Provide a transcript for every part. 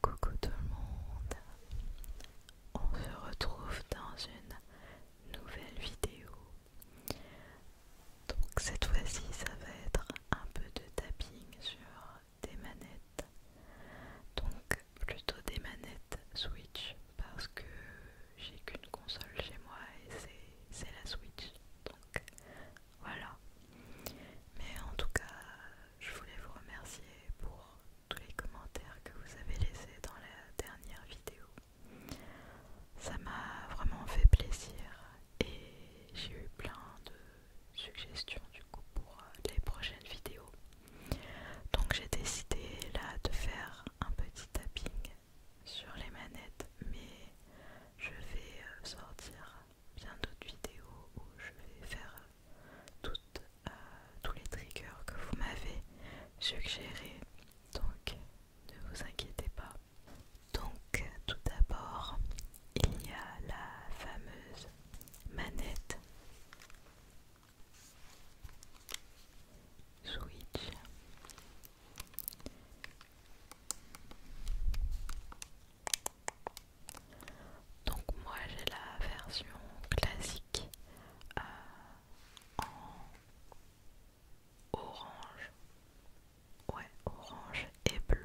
Coucou tout le monde, on se retrouve dans une nouvelle vidéo. Donc cette fois-ci, ça va être un peu de tapping sur des manettes. Donc plutôt des manettes Switch parce que j'ai qu'une console chez moi et c'est la Switch. Donc voilà. Mais en tout cas, je voulais vous remercier pour tous les commentaires que vous avez laissés dans la dernière vidéo. Ça m'a vraiment fait plaisir et j'ai eu plein de suggestions du coup pour les prochaines vidéos. Donc j'ai décidé là de faire un petit tapping sur les manettes mais je vais euh, sortir bien d'autres vidéos où je vais faire toutes, euh, tous les triggers que vous m'avez suggéré Donc ne vous inquiétez pas. Donc tout d'abord, il y a la fameuse manette Switch. Donc moi j'ai la version classique euh, en orange. Ouais, orange et bleu.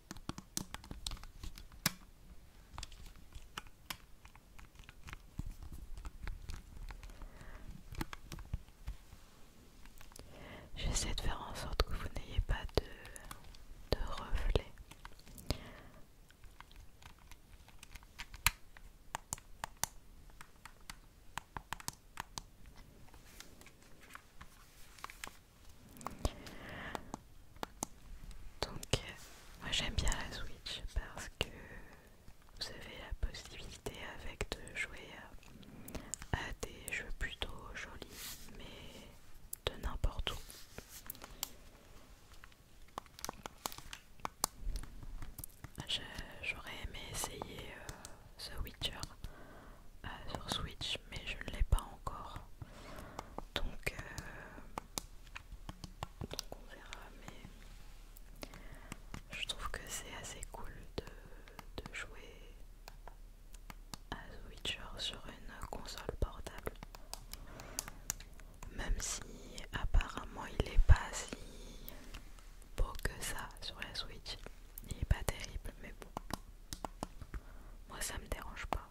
J'essaie de faire en sorte que vous n'ayez pas de, de reflets. Donc, moi j'aime bien la Switch parce que vous avez la possibilité avec de jouer à, des jeux plutôt jolis, mais de n'importe où. J'aurais aimé essayer euh, The Witcher euh, sur Switch, mais je ne l'ai pas encore. Euh, donc, on verra, mais je trouve que c'est assez cool de, jouer à Switcher sur une console portable. Même si apparemment il n'est pas si beau que ça sur la Switch il est pas terrible mais bon moi ça me dérange pas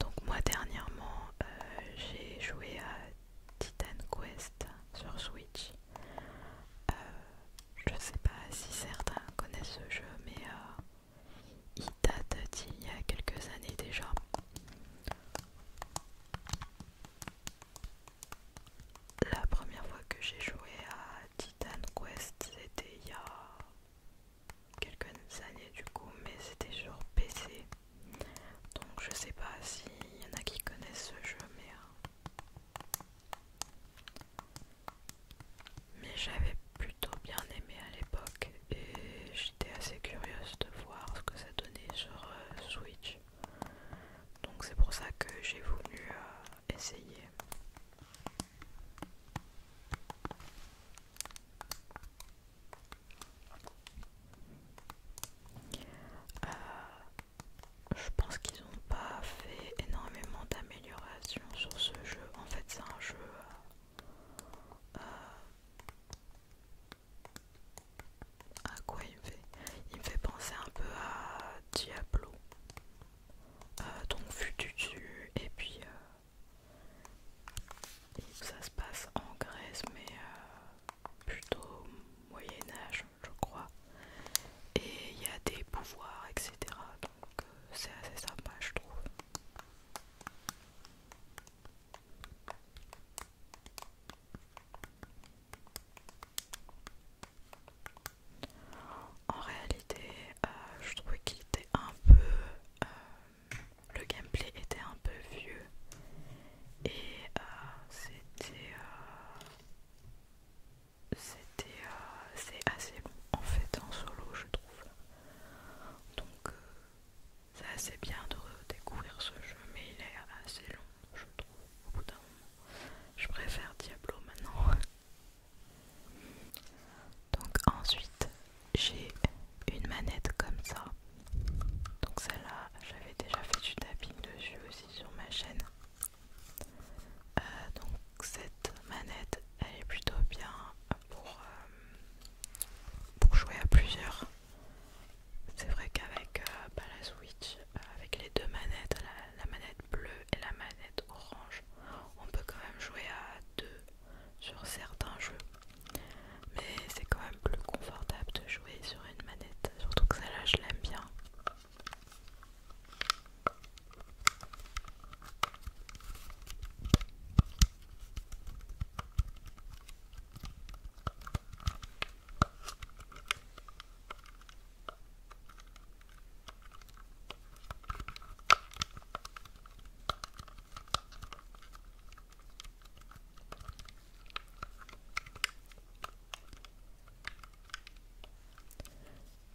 donc moi dernièrement euh, j'ai joué à Titan Quest sur Switch. Je euh, je sais pas si certains connaissent ce jeu mais euh, il date d'il y a quelques années déjà. La première fois que j'ai joué à Titan Quest c'était il y a quelques années du coup, mais c'était sur PC. Donc je sais pas s'il y en a qui connaissent ce jeu, euh, mais... j'avais plutôt bien aimé à l'époque et j'étais assez curieuse de voir ce que ça donnait sur euh, Switch. Donc c'est pour ça que j'ai voulu euh, essayer. Euh, je pense qu'ils n'ont pas fait énormément d'améliorations sur ce jeu. En fait, c'est un jeu euh, euh, à quoi il me fait Il me fait penser un peu à Diablo, donc vu dessus et puis ça se passe en Grèce, mais euh, plutôt Moyen-Âge, je crois. Et il y a des pouvoirs, etc. Donc euh, c'est assez sympa, je trouve. En réalité, euh, je trouvais qu'il était un peu le gameplay était un peu vieux et euh, c'était euh, c'était euh, c'est assez bon en fait en solo je trouve donc c'est assez bien de redécouvrir ce jeu mais il est assez long je trouve au bout d'un moment je préfère Diablo maintenant donc ensuite j'ai une manette comme ça. Donc celle-là j'avais déjà fait du tapping dessus aussi sur ma chaîne. Euh, donc cette manette elle est plutôt bien pour, euh, pour jouer à plusieurs. C'est vrai qu'avec euh, bah, la Switch, avec les deux manettes, la manette bleue et la manette orange, on peut quand même jouer à deux sur certains jeux. Mais c'est quand même plus confortable de jouer sur une manette, surtout que celle-là je l'aime bien.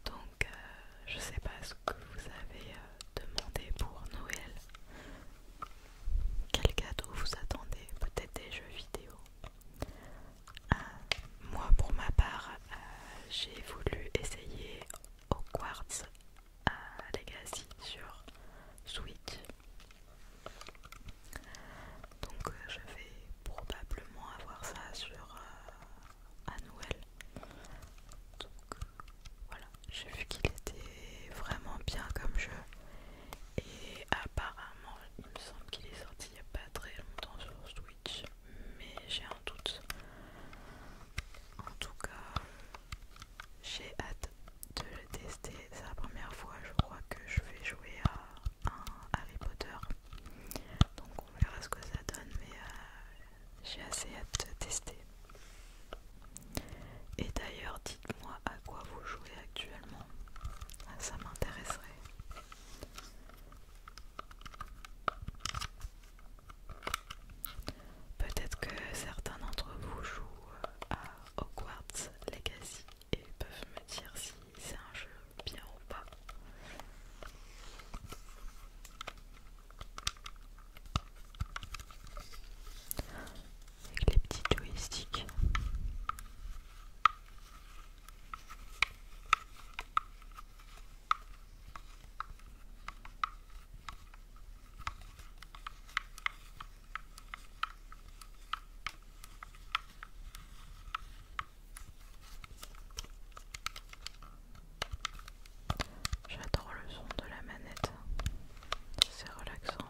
Donc, euh, je sais pas ce que vous avez euh, demandé pour Noël. Quel cadeau vous attendez Peut-être des jeux vidéo. Euh, moi, pour ma part, j'ai voulu essayer Hogwarts à Legacy sur Switch. Donc euh, je vais probablement avoir ça sur euh, à Noël. Donc euh, voilà, j'ai vu qu'il était vraiment bien comme jeu. Et apparemment, il me semble qu'il est sorti il n'y a pas très longtemps sur Switch, mais j'ai un doute. En tout cas, j'ai hâte de le tester. C'est la première fois, je crois, que je vais jouer à un Harry Potter. Donc on verra ce que ça donne, mais euh, j'ai assez hâte de tester. Et d'ailleurs, dites-moi à quoi vous jouez actuellement. Ah, ça m'intéresserait. Peut-être que certains d'entre vous jouent à Hogwarts Legacy et peuvent me dire si c'est un jeu bien ou pas. Avec les petits joysticks. J'adore le son de la manette, c'est relaxant.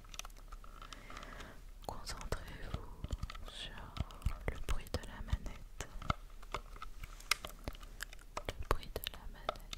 Concentrez-vous sur le bruit de la manette. de la manette.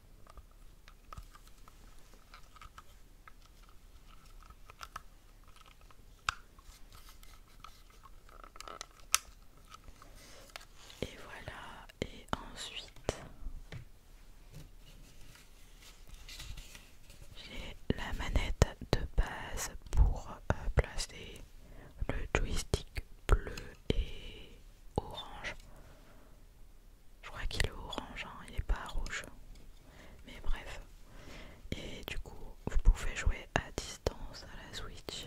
Et voilà, et ensuite j'ai la manette de base pour euh, placer le joystick bleu et orange. Je crois qu'il est orange, hein, il n'est pas rouge. Mais bref. Et du coup, vous pouvez jouer à distance à la Switch.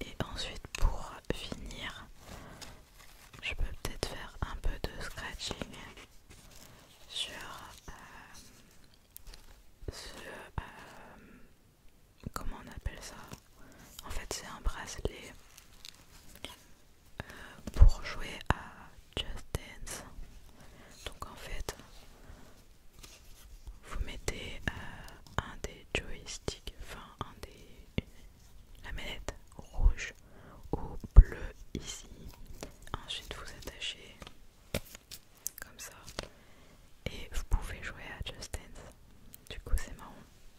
Et ensuite pour finir, je peux peut-être faire un peu de scratching sur euh, ce, euh, comment on appelle ça En fait, c'est un bracelet euh, pour jouer à Just Dance. Donc en fait, vous mettez euh, un des joysticks, enfin un des la manette rouge ou bleu ici. Ensuite, vous attachez comme ça et vous pouvez jouer à Just Dance. Du coup, c'est marrant.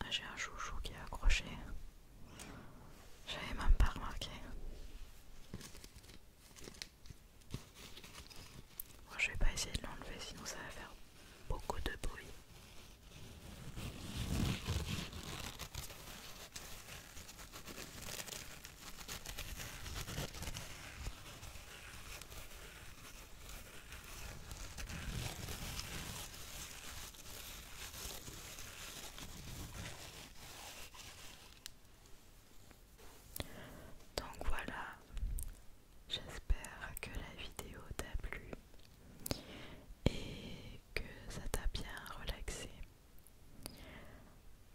Ah, j'ai un chouchou qui est accroché j'avais même pas remarqué. Moi, je vais pas essayer de l'enlever sinon ça va faire beaucoup de bruit. Donc voilà, j'espère que la vidéo t'a plu et que ça t'a bien relaxé.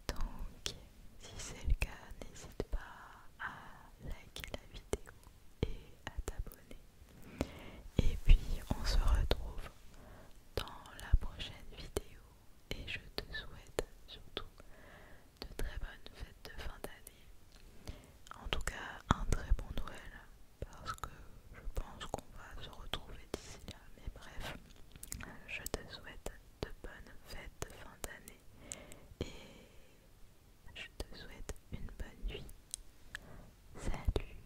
Donc si c'est le cas, n'hésite pas à liker la vidéo et à t'abonner. Et puis on se retrouve dans la prochaine vidéo et je te souhaite surtout de très bonnes fêtes de fin d'année. En tout cas, un très bon Noël parce que je pense qu'on va se retrouver d'ici là. Mais bref, je te souhaite de bonnes fêtes de fin d'année et je te souhaite une bonne nuit. Salut